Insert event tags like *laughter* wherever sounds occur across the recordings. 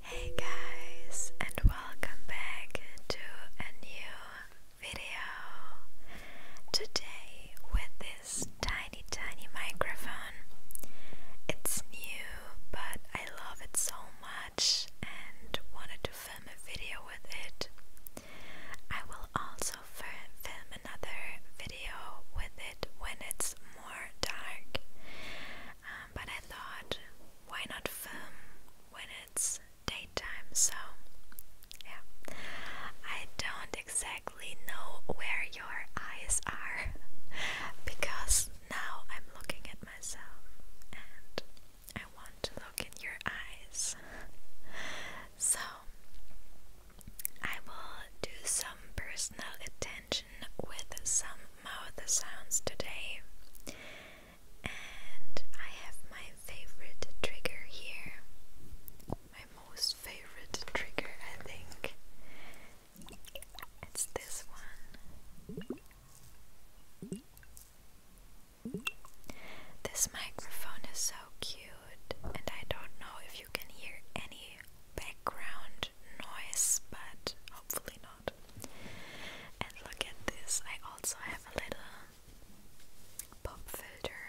Hey guys, and welcome back to a new video. Today, with this tiny, tiny microphone, it's new, but I love it so much and wanted to film a video with it. I will also film another video with it when it's more dark. Um, but I thought, why not film when it's daytime? So, yeah, I don't exactly know where your eyes are *laughs* because now I'm looking at myself and I want to look in your eyes. *laughs* So, I will do some personal attention with some mouth sounds today. And I have my favorite trigger here. My most favorite trigger, I think. It's this one. This microphone is so cute and I don't know if you can hear any background noise, but hopefully not. And look at this, I also have a little pop filter.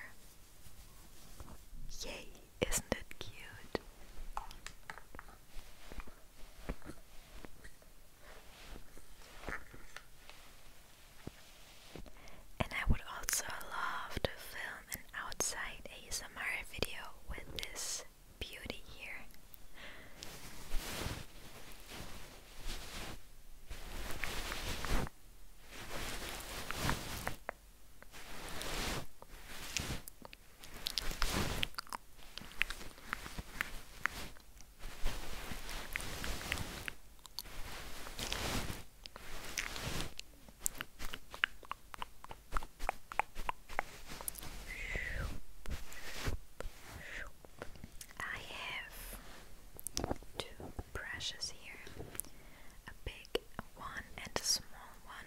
Yay, isn't it cute? And I would also love to film film um, an outside ASMR video with this beauty here. I have two brushes here a big one and a small one,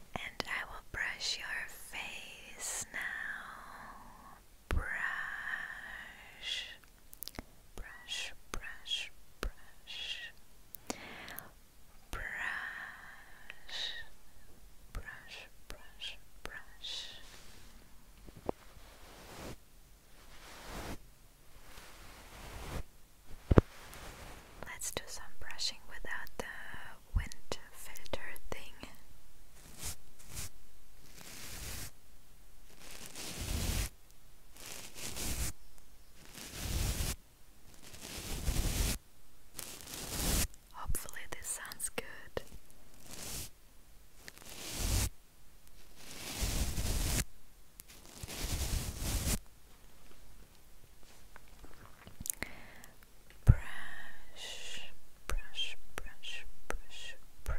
and I will brush your face now. Brush, brush, brush, brush, brush, brush, brush, brush. Let's do some brushing without the wind filter thing. Hopefully, this sounds good. Brush, brush, brush, brush, brush.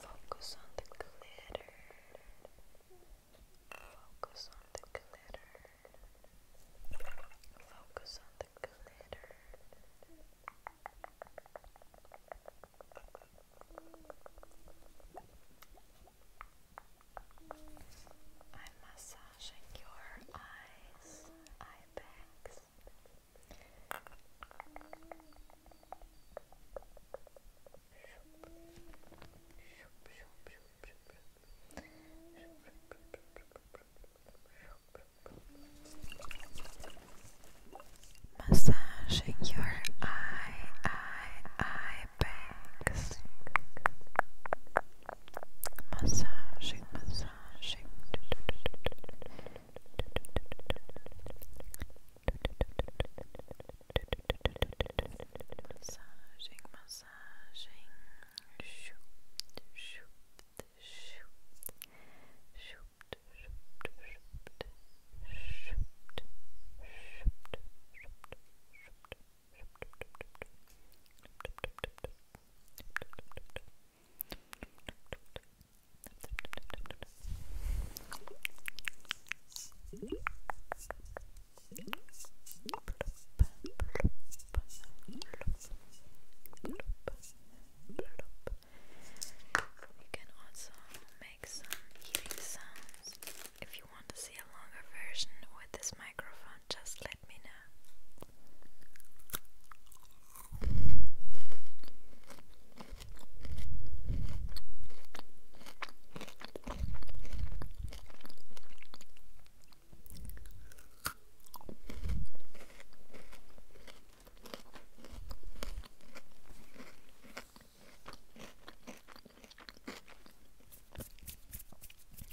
Focus on the glitter. Focus on the glitter. Focus on the glitter. I'm massaging your eyes, eye bags, Massaging your eye, eye, eye bags. Massaging, massaging. Massaging, massaging. Shoop, shoop, shoop. Shoop, shoop, shoop. Shoop, shoop, shoop. Shoop, shoop, shoop. You can also make some eating sounds. If you want to see a longer version with this microphone, just let me know.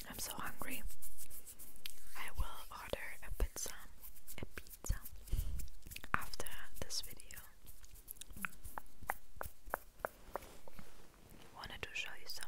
I'm so hungry. I will order a pizza, a pizza after this video. Wanted to show you something.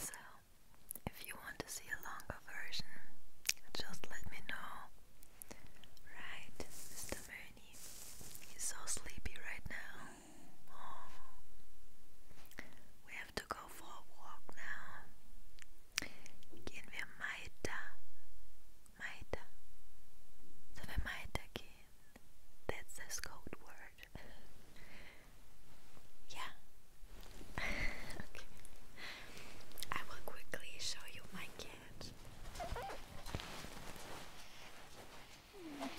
So, if you want to see a longer version, just let me know. Right, Mr. Mooney. He's so sleepy right now. Oh. We have to go for a walk now. Gehen wir weiter. Weiter. Sollen wir weitergehen? That's a code word. yeah. *laughs* okay. I will quickly show you my cat. *laughs*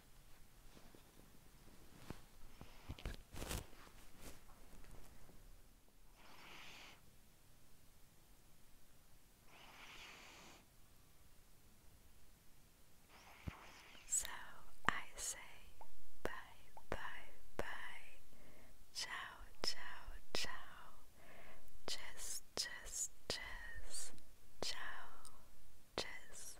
So I say bye, bye, bye, ciao, ciao, ciao, just, just, just, ciao, just,